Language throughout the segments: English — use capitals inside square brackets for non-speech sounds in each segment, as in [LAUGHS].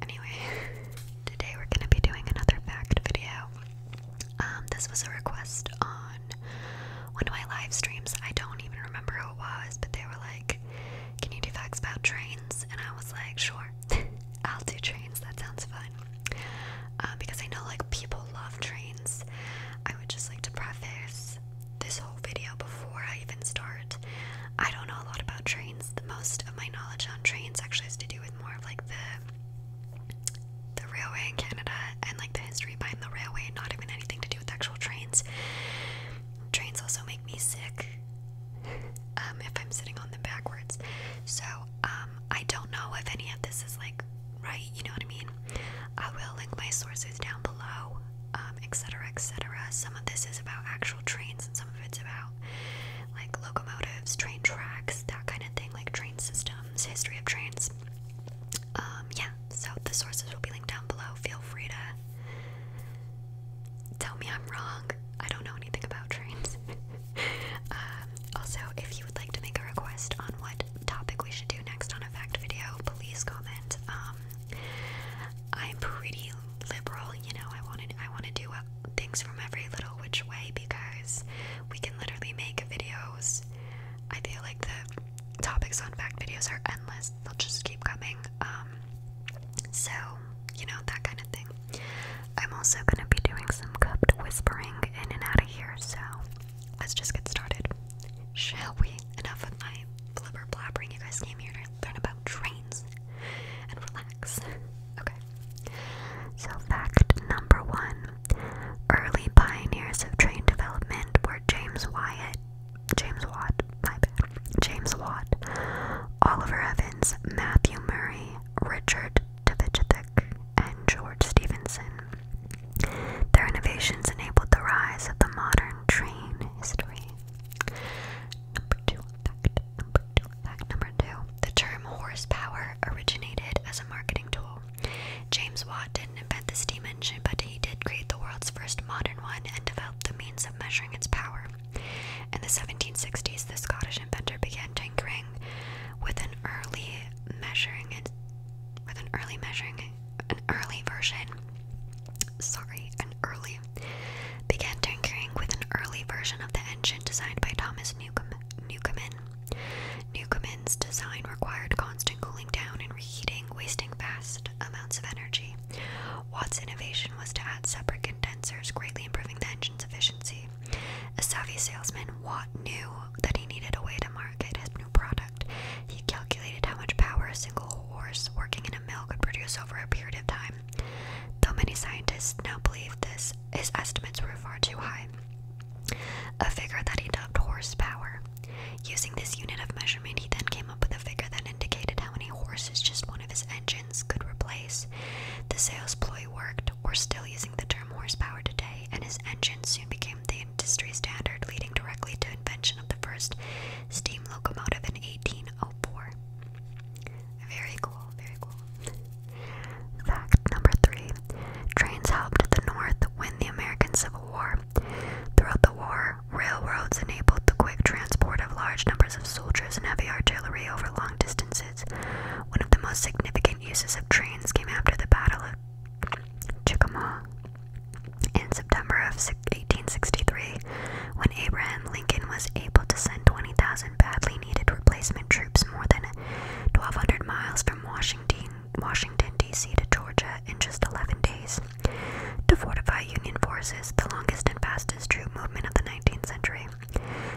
Anyway, [LAUGHS] today we're gonna be doing another fact video. Um, this was a request on one of my live streams. I don't even remember who it was, but they were like, Can you do facts about trains? And I was like, Sure, [LAUGHS] I'll do trains. That sounds fun. Uh, because I know like people love trains. I would just like to preface this whole video before I even start. I don't know a lot about trains. The most of my knowledge on trains actually has to do with more of like the the railway in Canada and like the history behind the railway, not even anything to do with actual trains. Trains also make me sick [LAUGHS] um, if I'm sitting on them backwards. So um, I don't know if any of this is like right. You know what I mean? I will link my sources down below, etc., um, etc. Et some of this is about actual trains, and some of it's about [LAUGHS] like locomotives, train tracks, that kind of thing, like train systems, history of trains. Um, yeah, so the sources will be linked down below. Feel free to tell me I'm wrong. I don't know anything about trains. [LAUGHS] Um, also, if you would like to make a request on what topic we should do next on a fact video, please comment. Um, I'm pretty liberal, you know. I wanted I want to do uh, things from every little which way because we can literally make videos. I feel like the topics on fact videos are endless. They'll just keep coming. Um so, you know, that kind of thing. I'm also going to be doing some cooped whispering in and out of here, so let's just get started. Shall we? Enough of my blubber blabbering. You guys came here to learn about trains and relax. [LAUGHS] Okay. So, fact number one early pioneers of train development were James Wyatt, James Watt, my bad, James Watt, Oliver Evans, Matthew Murray, Richard Tvitchethek, and George Stephenson. Their innovations enabled the rise of the modern train history. Number two fact. Fact number two the term horsepower originated as a marketing tool. James Watt didn't invent the steam engine, but he did create the world's first modern one and developed the means of measuring its power. In the 1760s, the Scottish inventor began tinkering with an early measuring with an early measuring an early version began tinkering with an early version of the engine designed by Thomas Newcom Newcomen. Newcomen's design required constant cooling down and reheating, wasting vast amounts of energy. Watt's innovation was to add separate condensers, greatly improving the engine's efficiency. A savvy salesman, Watt knew that he needed a way to market his new product. He calculated how much power a single horse working in a mill could produce over a period of time Though many scientists now believe this, his estimates were far too high. A figure that he dubbed horsepower. Using this unit of measurement, he then came up with a figure that indicated how many horses just one of his engines could replace. The sales ploy worked, or still using the term horsepower today, and his engine soon became the industry standard, leading directly to invention of the first steam locomotive in 1804. Very cool, very cool. Fact number three trains helped the North win the American Civil War. Throughout the war, railroads enabled the quick transport of large numbers of soldiers and heavy artillery over long distances. One of the most significant uses of trains came after the Battle of Chickamauga in September of 1863 when Abraham Lincoln was able to send 20,000 badly needed replacement troops more than 1,200 miles from Washington, Washington D.C. to Georgia in just 11 days. To fortify Union forces, the longest and fastest troop movement of the 19th century.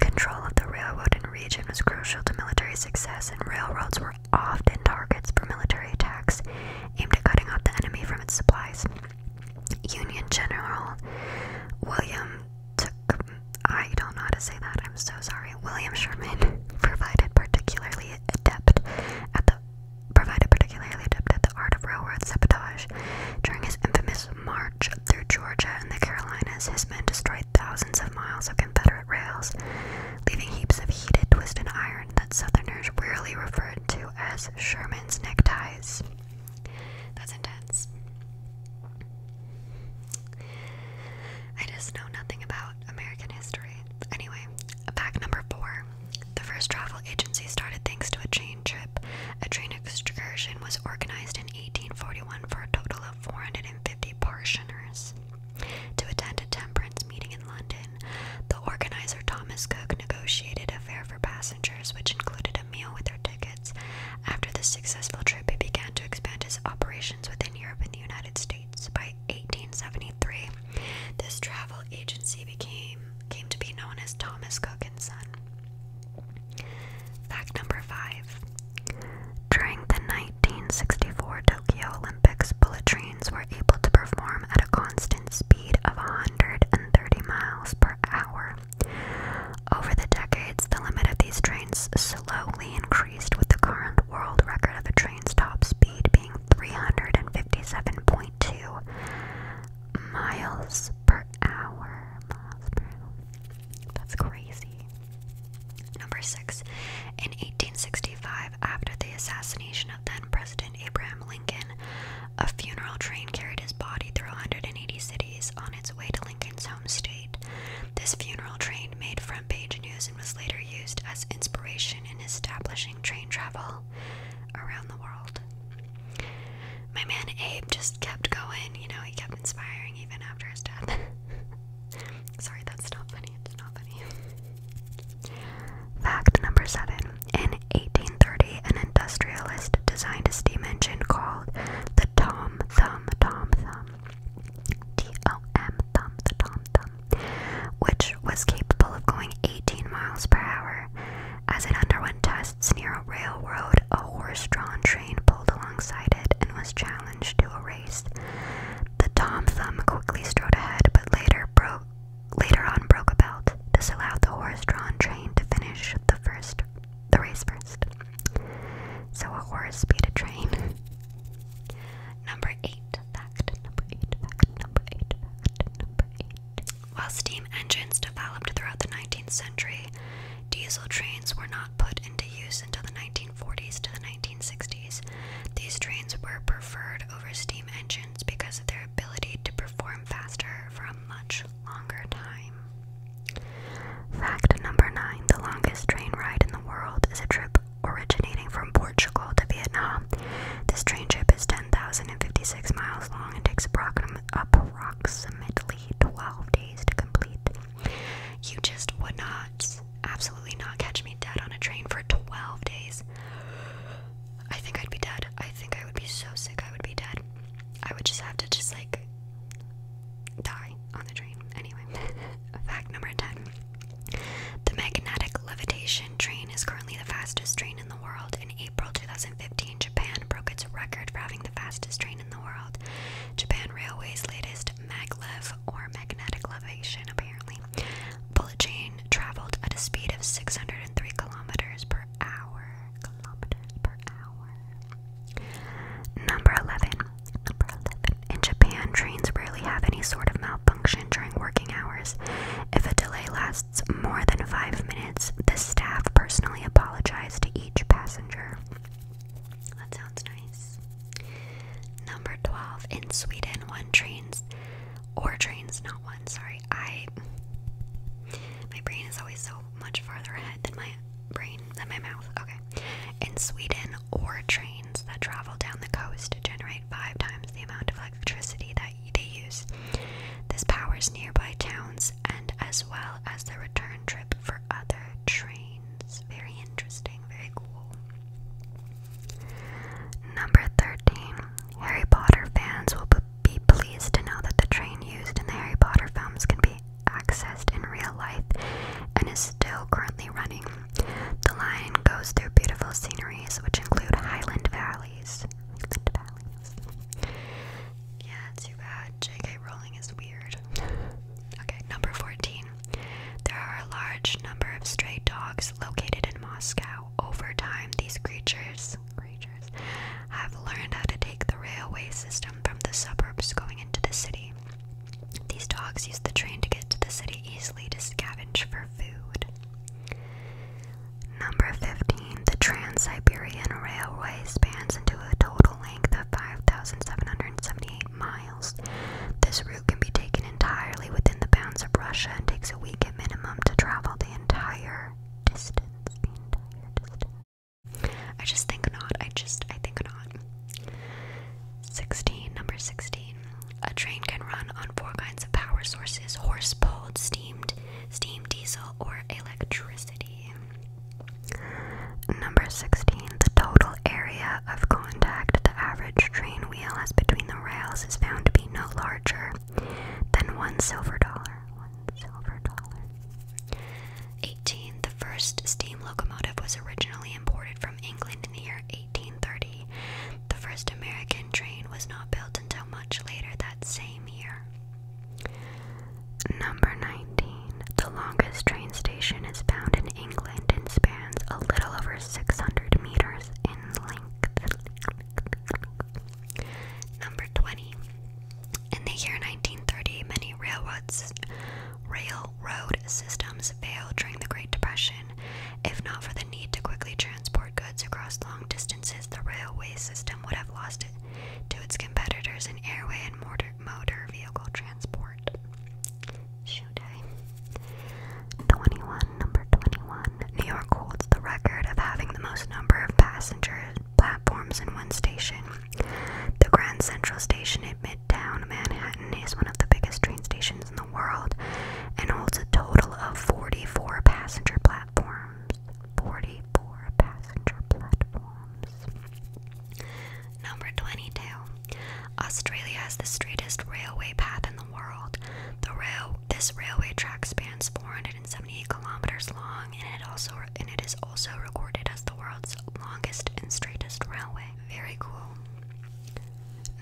Control of the railroad and region was crucial to military success, and railroads were often targets for military attacks aimed at cutting off the enemy from its supplies. Union General William took, I don't know how to say that, I'm so sorry. William Sherman [LAUGHS] provided particularly adept at the provided particularly adept at the art of railroad sabotage. During his infamous march through Georgia and the Carolinas, his men destroyed thousands of miles of Confederate rails, leaving heaps of heated, twisted iron that Southerners rarely referred to as Sherman's neckties. That's intense. I just know nothing about American history. Anyway, pack number four. The first travel agency started thanks to a train trip. A train excursion was organized in 1841 for a total of 450 portioners to attend a temperance meeting in London. The organizer, Thomas Cook, negotiated a fare for passengers, which included a meal with their tickets. After this successful trip, he began to expand his operations within Europe and the United States. By 1873, this travel agency became came to be known as Thomas Cook and Son. Fact number five. During the 1964 Tokyo Olympics, bullet trains were able to perform at a constant speed of 130 miles per hour. Over the decades, the limit of these trains slowly increased, with the current world record of a train's top speed being 357.2 miles per hour. That's crazy. Number six. In 1865, after the assassination of then President Abraham Lincoln, a funeral train carried his body through 180 cities on its way to Lincoln's home state. This funeral train made front page news and was later used as inspiration in establishing train travel around the world. My man Abe just kept going, you know, he kept inspiring even after his death. [LAUGHS] Sorry, that's not funny. It's not funny. [LAUGHS] Fact number seven. In 1830, an industrialist designed a steam engine called the Tom Thumb Tom Thumb. T O M Thumb the Tom Thumb, which was capable of going 18 miles per hour. As it underwent tests near a railroad, a horse-drawn train pulled alongside it and was challenged to a race. The Tom Thumb quickly strode ahead, but later broke later on broke a belt. This allowed the horse-drawn train to finish the first, the race first. So a horse beat a train. [LAUGHS] number eight fact. Number eight fact. Number eight fact. Number eight. While steam engines developed throughout the 19th century, diesel trains were not put into use until the 1940s to the 1960s. These trains were preferred over steam engines because of their ability to perform faster for a much longer time. Fact number nine the longest train ride in the world is a trip originating from Portugal to Vietnam. This train trip is 10,056 miles long and takes approximately 12 days to complete. You just would not, absolutely not catch me dead on a train for 12 days. I think I'd be dead. I think I would be so sick, I would be dead. I would just have to just like die on the train. Anyway, [LAUGHS] fact number 10. The magnetic levitation train is currently the fastest train in the world. In April 2015, Japan broke its record for having the fastest train in the world. Japan Railway's latest maglev or magnetic levitation apparently Bullet train traveled at a speed of 603 kilometers per hour. Number 11. Number 11. In Japan, trains rarely have any sort of malfunction during working hours. If a delay lasts more than five minutes, the staff personally apologize to each passenger. That sounds nice. Number 12. In Sweden, one trains or trains, not one. Sorry, I my brain is always so much farther ahead than my brain than my mouth. Okay, in Sweden, or trains that travel down the coast generate five times the amount of electricity that they use. This powers nearby towns and as well as the return trip for other trains. Very interesting, very cool. Number 13. Harry Potter fans will be pleased to know that the train used in the Harry Potter films can be accessed in real life and is still currently running. The line goes through beautiful sceneries which include Highland Valleys. Yeah, too bad. JK Rowling is weird. [LAUGHS] okay, number 14. There are a large number of stray dogs located in Moscow over time, these creatures, have learned how to take the railway system from the suburbs going into the city. These dogs use the train to get to the city easily to scavenge for food. Number 15. The Trans Siberian Railway spans into a total length of 5,778 miles. This route can be taken entirely within the bounds of Russia and takes a week at minimum to travel the entire distance. I just think not. I just, I think not. 16. Number 16. A train can run on four kinds of power sources horse pulled, steamed, steam, diesel, or electricity. Number 16. The total area of contact the average train wheel has between the rails is found to no larger than one silver dollar. One silver dollar. 18. The first steam locomotive was originally imported from England in the year 1830. The first American train was not built until much later that same year. Number 19. The longest train station is found in England and spans a little over 600 meters in length. Number 20. In the year 1930, many railroads, railroad systems failed during the Great Depression. If not for the need to quickly transport goods across long distances, the railway system would have lost it to its competitors in airway and motor vehicle transport. Showtime. Eh? 21, number 21. New York holds the record of having the most number of passenger platforms in one station. The Grand Central Station at Midtown Manhattan is one of the biggest train stations in the world and holds a total of 44 passenger platforms. 44 passenger platforms. Number 22. Australia has the straightest railway path in the world. The rail this railway track spans 478 kilometers long, and it also and it is also recorded as the world's longest and straightest railway. Very cool.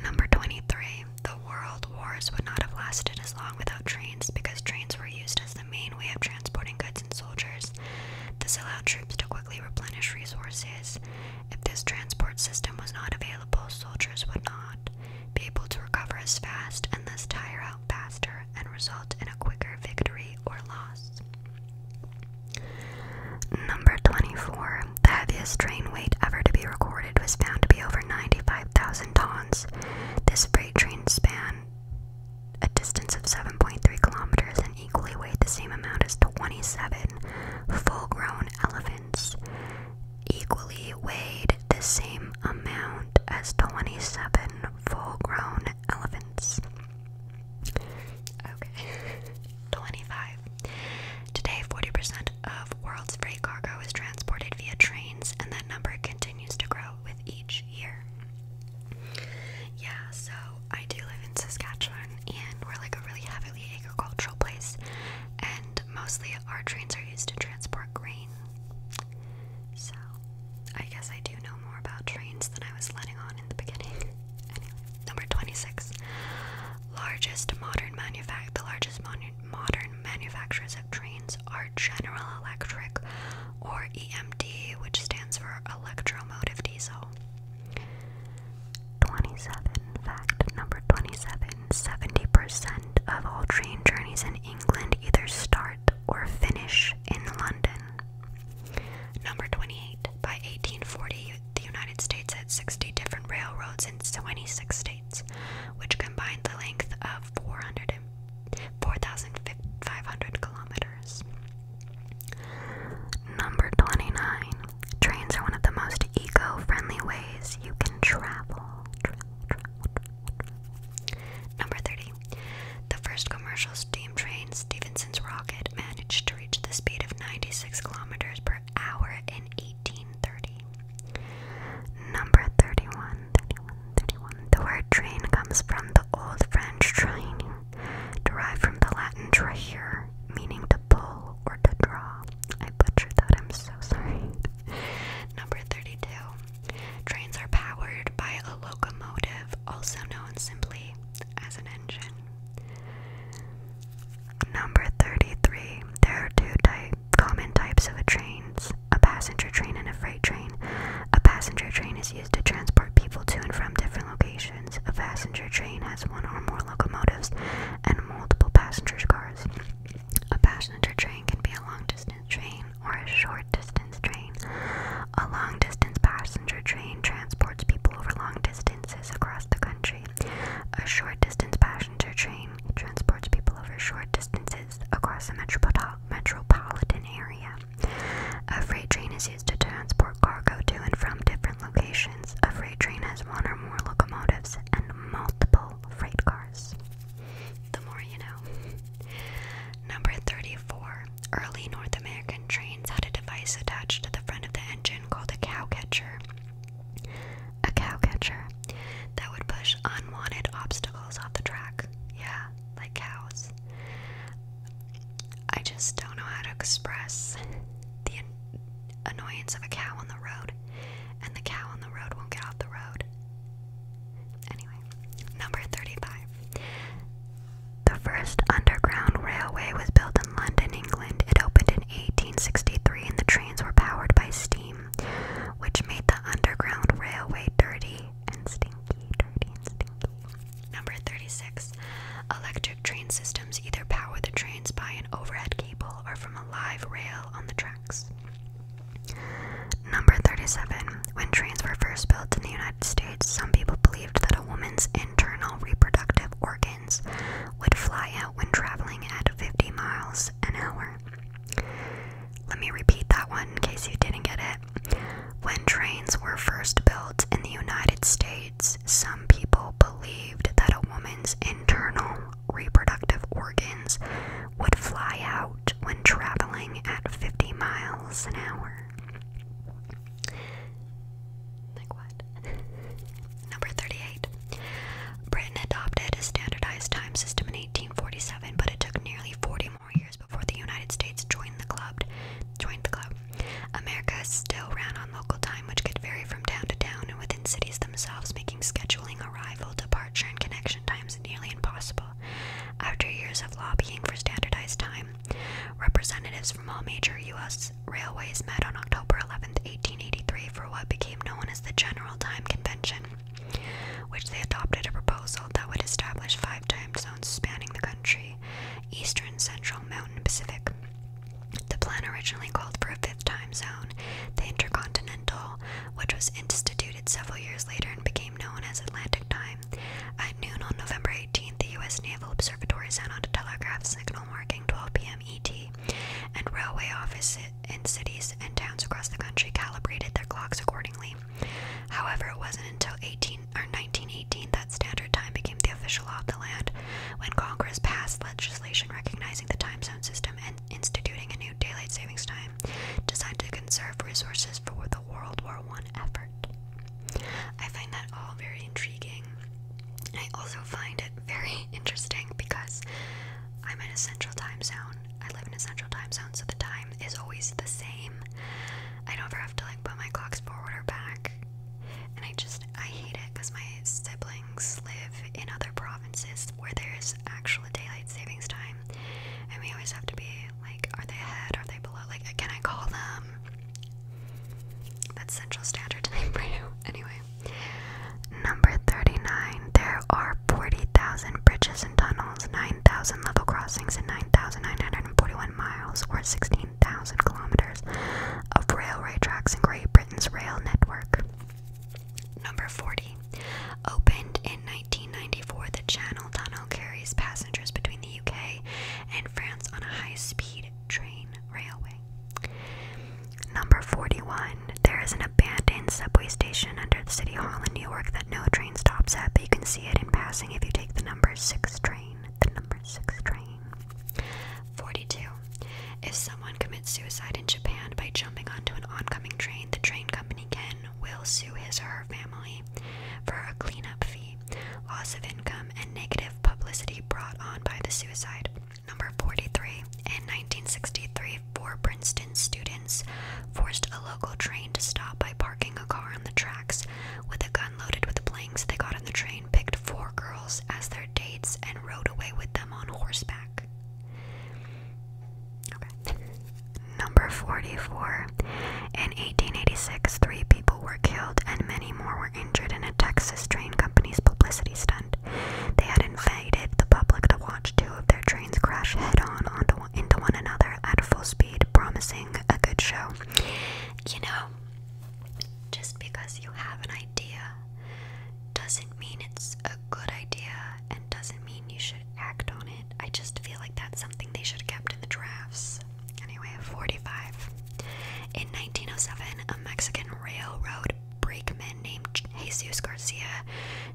Number 23. The world wars would not have lasted as long without trains because trains were used as the main way of transporting goods and soldiers. This allowed troops to quickly replenish resources if this transport system was not available, soldiers would not be able to recover as fast and thus tire out faster and result in a quicker victory or loss. Number 24. The heaviest train weight ever to be recorded was found to be over 95,000 tons. This freight train span a distance of 7.3 kilometers and equally weighed the same amount as 27 full grown elephants equally weighed the same amount as 27 full grown elephants. Okay, 25. Today, 40% of world's freight cargo is transported via trains, and that number continues to grow with each year. Yeah, so I do live in Saskatchewan, and we're like a really heavily agricultural place, and mostly our trains are used to transport grain. So, I guess I do know more about trains than I was letting on in the beginning. [LAUGHS] Anyway, number 26. Largest modern manufact the largest modern modern manufacturers of trains are General Electric or EMD, which stands for electromotive diesel. 27. Fact number 27 percent of all train journeys in England either start or finish in London. Number 28. By 1840, the United States had 60 different railroads in 26 states, which combined the length of 4,500 kilometers. Number 29. Trains are one of the most eco-friendly ways you can travel. Number 30. The first commercial steam train, Stevenson's Rocket, managed to reach the speed of 96 kilometers per hour in 1830. Number 31. The word train comes from the old French train, derived from the Latin trahere, meaning to pull or to draw. I butchered that, I'm so [LAUGHS] sorry. Number 32. Trains are powered by a locomotive, also known simply as an engine. Number 33. There are two type, common types of a trains a passenger train and a freight train. A passenger train is used to transport people to and from different locations a passenger train has one or more locomotives and multiple passenger cars. A passenger train can be a long distance train or a short distance train. A long distance passenger train transports people over long distances across the country. A short distance passenger train transports people over short distances across a metropolitan area. A freight train is used to transport cargo to and from different locations a freight train has one or more locomotives and multiple freight cars. The more you know. Number 34. Early North American trains had a device attached to the front of the engine called a cow catcher. A cow catcher that would push unwanted obstacles off the track. Yeah, like cows. I just don't know how to express the annoyance of a cow on the road, and the cow on the road won't get off the road. Anyway, number 35. The first underground railway was built in London, England. It opened in 1863 and the trains were powered by steam, which made the underground railway dirty and stinky, dirty and stinky. Number 36. Electric train systems either power the trains by an overhead cable or from a live rail on the tracks. Number 37. When trains were first built in the United States, some people believed that a woman's internal reproductive organs would fly out when traveling at 50 miles an hour. Let me repeat that one in case you didn't get it. When trains were first built in the United States, some people believed that a woman's internal reproductive organs would fly out when traveling at 50 miles an hour. Like what? [LAUGHS] Number 38. Britain adopted a standardized time system in 1847, but it took nearly 40 more years before the United States joined the club. Joined the club. America still ran on local time, which could vary from town to town and within cities themselves, making scheduling arrival, departure, and connection times nearly impossible. After years of lobbying for standardized time, representatives from all major U.S. railways met on October 11, 1883, for what became known as the General Time Convention, which they adopted a proposal that would establish five time zones spanning the country eastern central mountain Pacific. The plan originally called for a fifth time zone, the Intercontinental, which was instituted several years later and became known as Atlantic Time. At noon on November 18th, the U.S. Naval Observatory sent out a telegraph signal marking 12 p.m. ET, and railway offices in cities and towns across the country calibrated their clocks accordingly. However, it wasn't until 18 in 1918 that standard time became the official law of the land when Congress passed legislation recognizing the time zone system and instituting a new daylight savings time designed to conserve resources for the World War I effort. I find that all very intriguing. I also find it very [LAUGHS] interesting because I'm in a central time zone. I live in a central time zone, so the time is always the same. I don't have to like put my clocks forward or back. And I just I hate it because my siblings live in other provinces where there's actual daylight savings time, and we always have to be like, are they ahead? Are they below? Like, can I call them? That's Central Standard [LAUGHS] Time for you. Anyway, number thirty-nine. There are forty thousand bridges and tunnels, nine thousand level crossings, and nine thousand nine hundred and forty-one miles, or sixteen 15,000 kilometers of railway tracks in Great Britain's rail network. Number 40. Opened in 1994, the Channel Tunnel carries passengers between the UK and France on a high speed train railway. Number 41. There is an abandoned subway station under the City Hall in New York that no train stops at, but you can see it in passing if you take the number 6 train. The number 6 train. 42. If someone commits suicide in Japan by jumping onto an oncoming train, the train company can will sue his or her family for a cleanup fee, loss of income, and negative publicity brought on by the suicide. Number 43. In 1963, four Princeton students forced a local train to stop by parking a car on the tracks with a gun Loaded with the blanks they got on the train, picked four girls as their dates, and rode away with them on horseback. Number 44. In 1886, three people were killed and many more were injured in a Texas train company's publicity stunt. They had invited the public to watch two of their trains crash head on onto, into one another at full speed, promising a good show. You know, just because you have an idea doesn't mean it's a good idea and doesn't mean you should act on it. I just feel like that's something they should have kept in the drafts. Anyway, 45. In 1907, a Mexican railroad brakeman named Jesus Garcia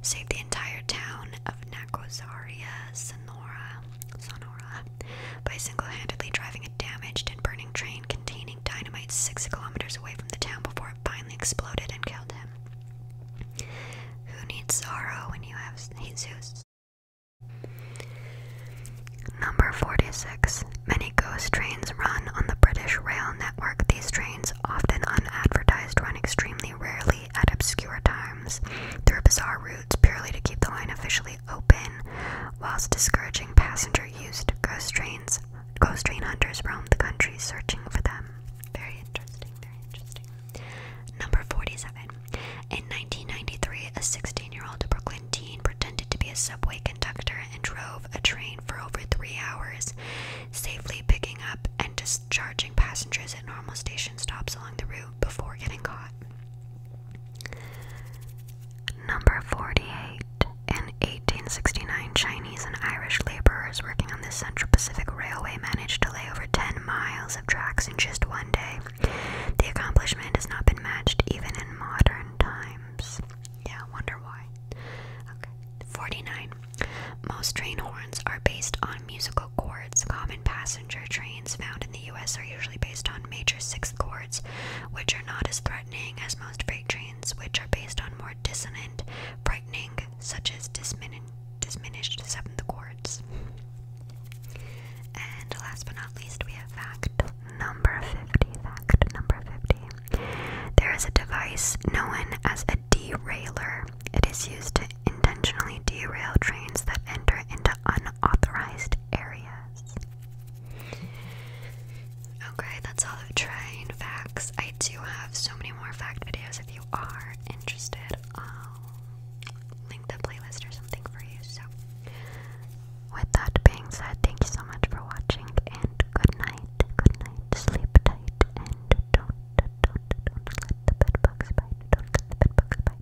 saved the entire town of Nacosaria, San Sonora, by single-handedly driving a damaged and burning train containing dynamite six kilometers away from the town before it finally exploded and killed him. Who needs sorrow when you have Jesus? Number 46. Many ghost trains run on the British rail network. These trains, often unadvertised, run extremely rarely at obscure times through bizarre routes purely to keep the line officially open, whilst discouraging passenger used ghost trains. Ghost train hunters roamed the country searching for them. Very interesting, very interesting. Number 47. In 1993, a 16 year old Brooklyn teen pretended to be a subway conductor and drove a train for over three hours, safely picking up and discharging passengers at normal station stops along the route before getting caught. Number 48. In 1869, Chinese and Irish laborers working on the Central Pacific Railway managed to lay over 10 miles of tracks in just one day. The accomplishment has not been matched even in modern times. Yeah, wonder why. 49. Most train horns are based on musical chords, common passages passenger trains found in the US are usually based on major sixth chords, which are not as threatening as most freight trains, which are based on more dissonant, frightening, such as dismin diminished seventh chords. And last but not least, we have fact number 50. Fact number 50. There is a device known as a derailer. It is used to intentionally derail trains that enter into unauthorized areas. Okay, that's all the train facts. I do have so many more fact videos if you are interested. I'll link the playlist or something for you. So, with that being said, thank you so much for watching and good night. Good night. Sleep tight and don't, don't, don't let the bed bite. Don't let the bed bite.